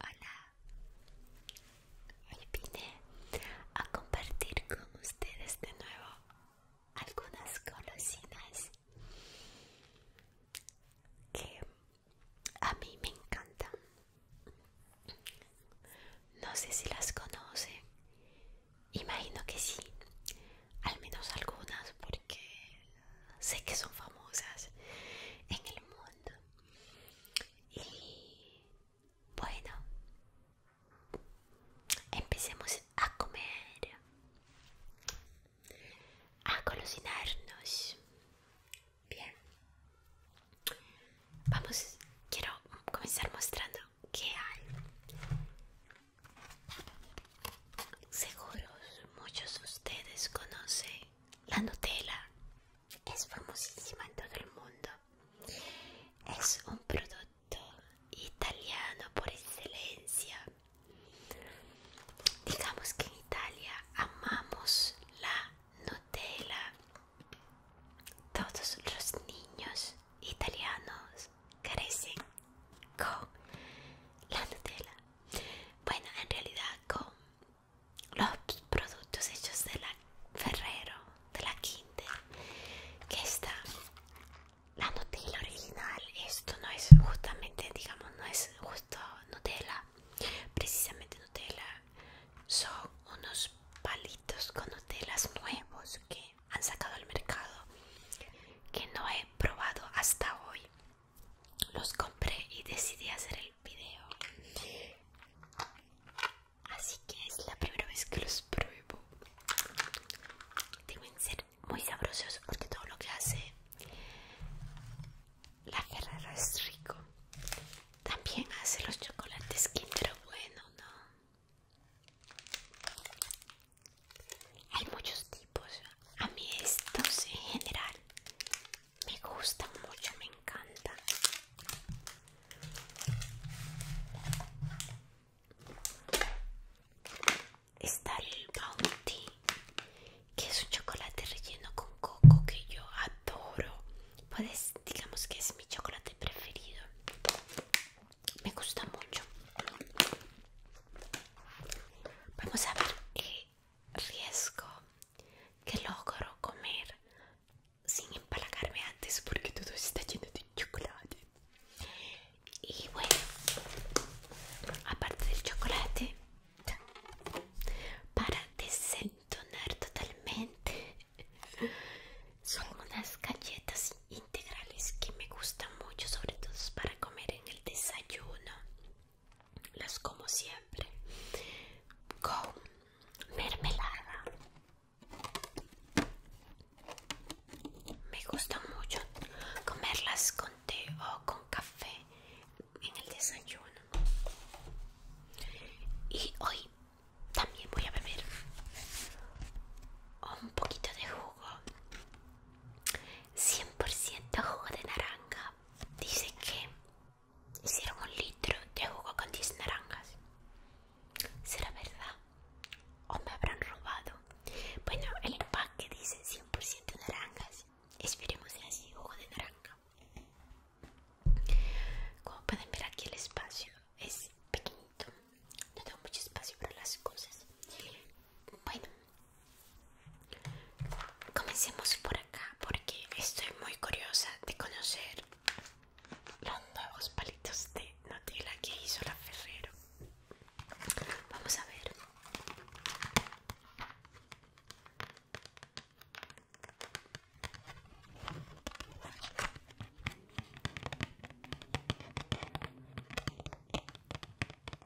Hola, hoy vine a compartir con ustedes de nuevo algunas golosinas que a mí me encantan. No sé si las conocen, imagino que sí, al menos algunas porque sé que son famosas en el mundo y bueno empecemos a comer a cocinarnos bien vamos quiero comenzar mostrando que hay seguro muchos de ustedes conocen la Nutella. Es famosísima en todo el mundo. Es un producto italiano por excelencia. Digamos que en Italia amamos la Nutella. Todos los niños italianos crecen con la Nutella. Bueno, en realidad con los productos hechos de la Ferrero, de la Kinder, que está la Nutella original, esto no es justamente, digamos, no es justo Nutella, precisamente Nutella, son unos palitos con Nutella nuevos que han sacado al mercado que no he probado hasta hoy los compré y decidí hacer el video así que es la primera vez que los pruebo deben ser muy sabrosos porque todo lo que hace la Ferrero es rico también hace los chocolates Kinder bueno no hay muchos tipos. A mí estos en general me gustan mucho, me encantan. Está el Bounty, que es un chocolate relleno con coco que yo adoro. Pues digamos que es mi chocolate preferido. Me gusta mucho. Vamos a ver eh, riesgo que logro comer sin empalagarme antes porque todo está lleno de chocolate y bueno aparte del chocolate para desentonar totalmente son unas galletas integrales que me gustan mucho sobre todo para comer en el desayuno las como siempre con mermelada me gusta mucho comerlas con té o con café en el desayuno y hoy también voy a beber un poquito de jugo 100% jugo de naranja. Dice que hicieron un litro de jugo con 10 naranjas. ¿Será verdad? ¿O me habrán robado? Bueno, el empaque dice 100% naranjas. Esperemos que así, jugo de naranja. Como pueden ver aquí el espacio es pequeñito. No tengo mucho espacio para las cosas. Bueno, Comencemos por acá porque estoy muy curiosa de conocer los nuevos palitos de Nutella que hizo la Ferrero. Vamos a ver.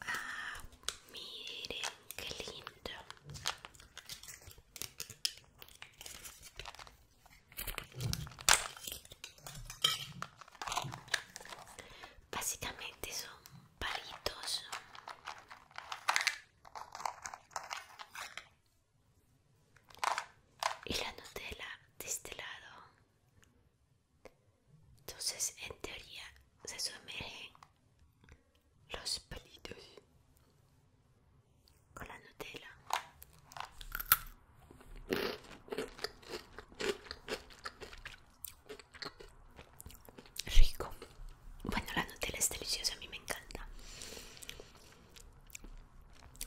Ah, miren qué lindo. Básicamente son palitos. Y la Nutella de este lado entonces, en teoría, se sumergen los palitos con la Nutella. Rico. Bueno, la Nutella es deliciosa, a mí me encanta.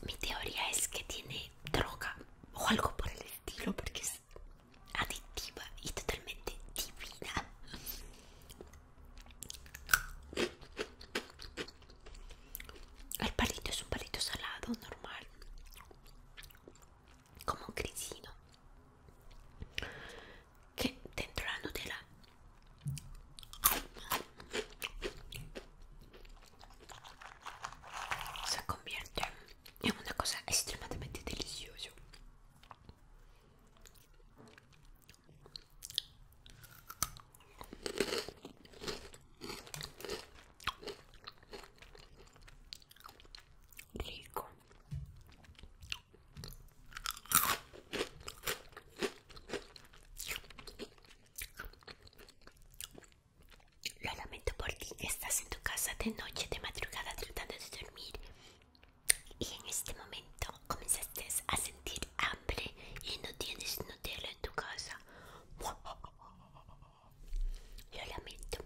Mi teoría es que tiene droga o algo por el estilo, porque adictiva y totalmente divina. El palito es un palito salado, normal, como un grisino, que dentro de la Nutella se convierte es una cosa extremadamente deliciosa rico lo lamento por ti estás en tu casa de noche de madrugada tratando de dormir y en este momento comenzaste a sentir hambre y no tienes Nutella en tu casa. Lo lamento.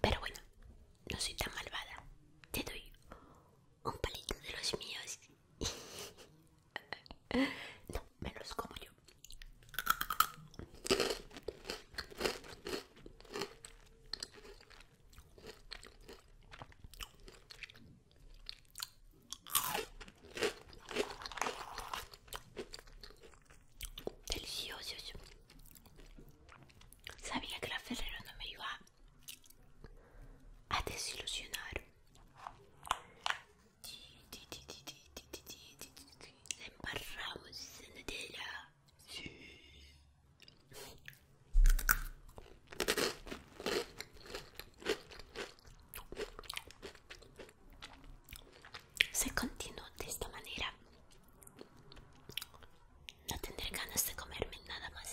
Pero bueno, no soy tan malvada. Te doy un palito de los míos. No, me los como yo. Delicioso Sabía que la Ferrero no me iba a desilusionar se embarramos en ella Sí. Se continúa de esta manera. No tendré ganas de comerme nada más.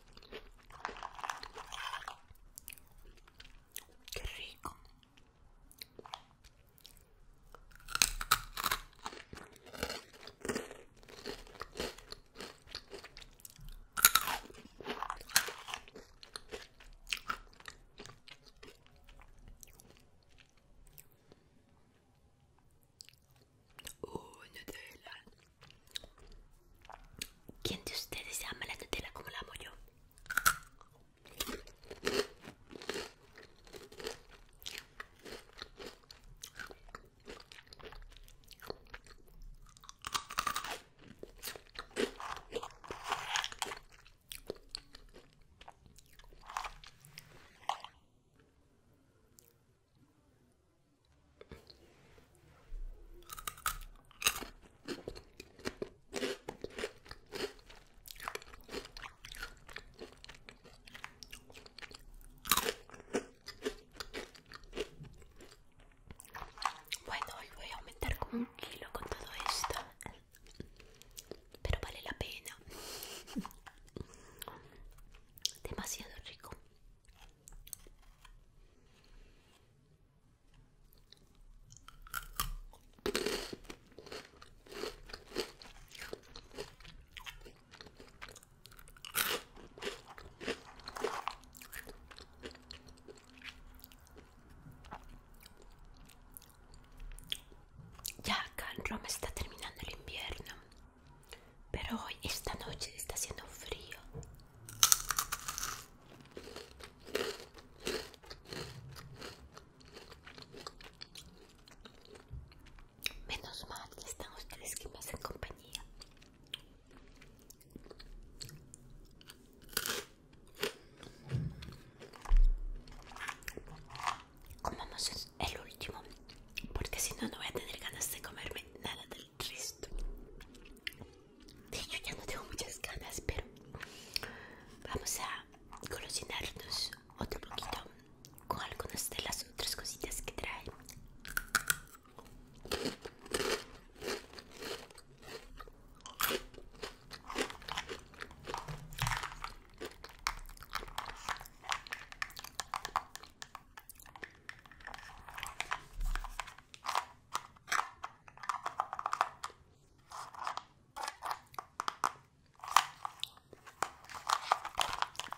Qué rico. Oh, Nutella. ¿Quién de ustedes ama la Nutella como la amo yo? Bueno, hoy voy a aumentar como un kilo con todo esto, pero vale la pena. Demasiado rico. Ya acá en Roma está terminando el invierno, pero hoy esta noche está haciendo frío. Menos mal que están ustedes que más en compañía. Comamos el último, porque si no, no voy a tener ganas de comerme nada del resto de hecho ya no tengo muchas ganas pero vamos a colosinarnos otro poquito con algunas de las otras cositas que trae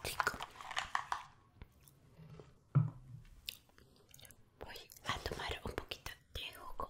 Rico. Voy a tomar un poquito de jugo.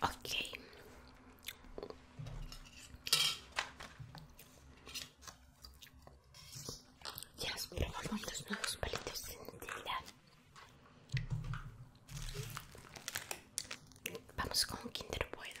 Ok. Ya os probamos los nuevos palitos de Nutella. Vamos con Kinder Bueno.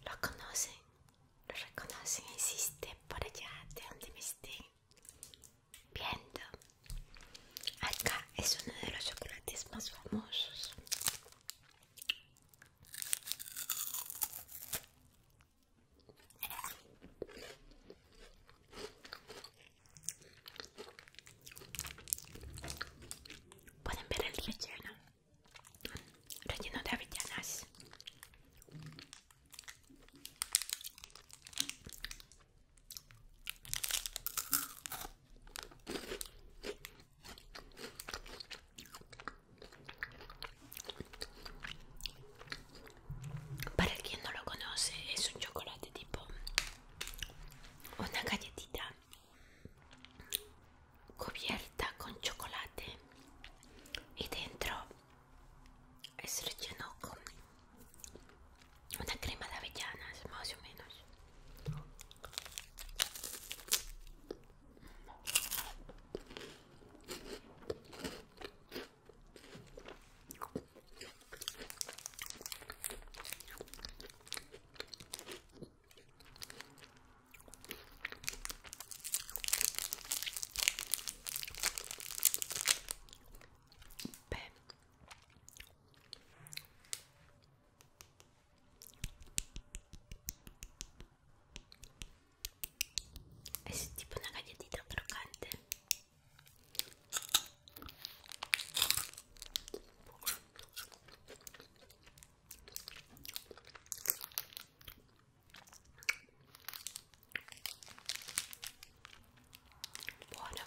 Lo conocen, lo reconocen, insiste por allá de donde me esté viendo acá es uno de los chocolates más famosos pueden ver el relleno relleno de avellanas para el quien no lo conoce, es un chocolate tipo una galletita cubierta con chocolate y dentro es relleno con una crema de avellanas, más o menos. è eh, tipo una cagliatina croccante Bueno.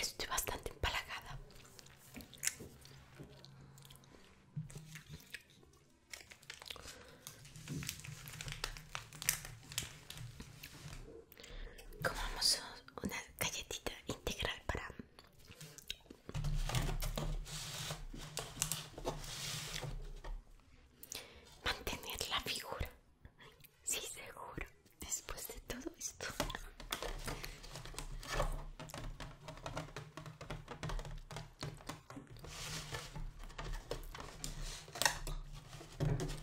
estoy bastante empalagada comamos una galletita integral para mantener la figura sí seguro después de todo esto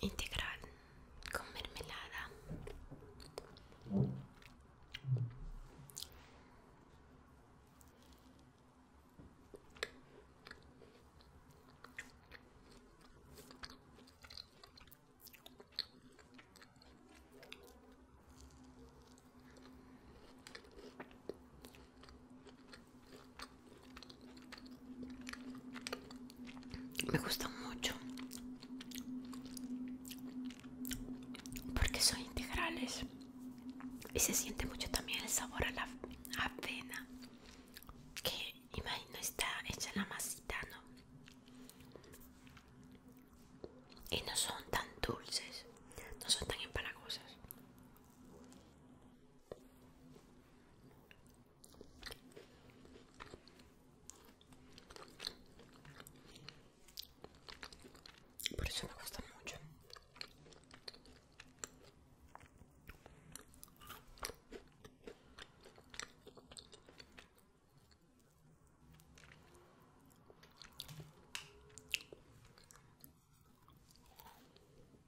integral con mermelada me gustan mucho porque son integrales y se siente mucho también el sabor a la avena que imagino está hecha la masita ¿no? y no son tan dulces no son tan empalagosas por eso me gusta mucho.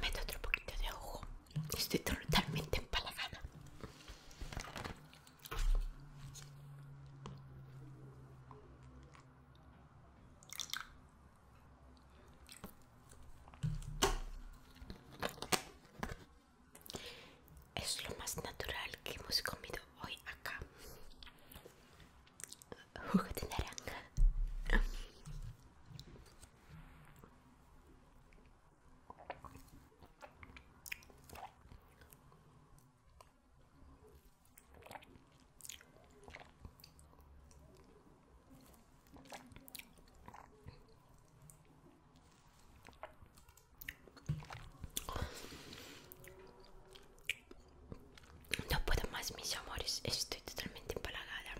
meto otro poquito de ojo. Estoy totalmente empalagada es lo más natural que hemos comido hoy acá no puedo más, mis amores. Estoy totalmente empalagada.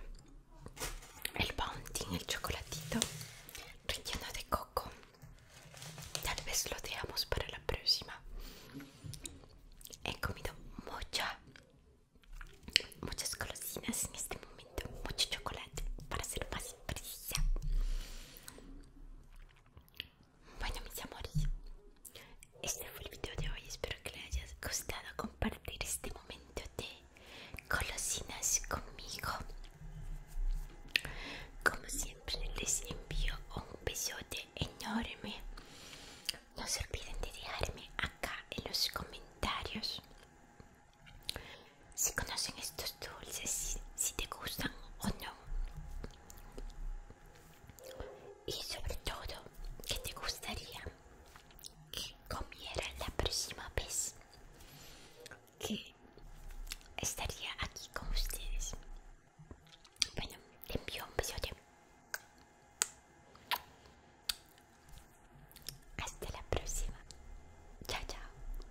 El bounty, el chocolatito relleno de coco. Tal vez lo dejamos para la próxima. He comido mucha, muchas golosinas en este momento. Mucho chocolate, para ser más precisa. Bueno mis amores, este fue el video de hoy, espero que les haya gustado compartir este momento de colosinas conmigo. Como siempre les envío un besote enorme. No se olviden de dejarme acá en los comentarios si conocen estos dulces, si, te gustan o no. Y sobre todo, que te gustaría que comiera la próxima vez que estaría aquí con ustedes? Bueno, envío un besote. Hasta la próxima. Chao, chao.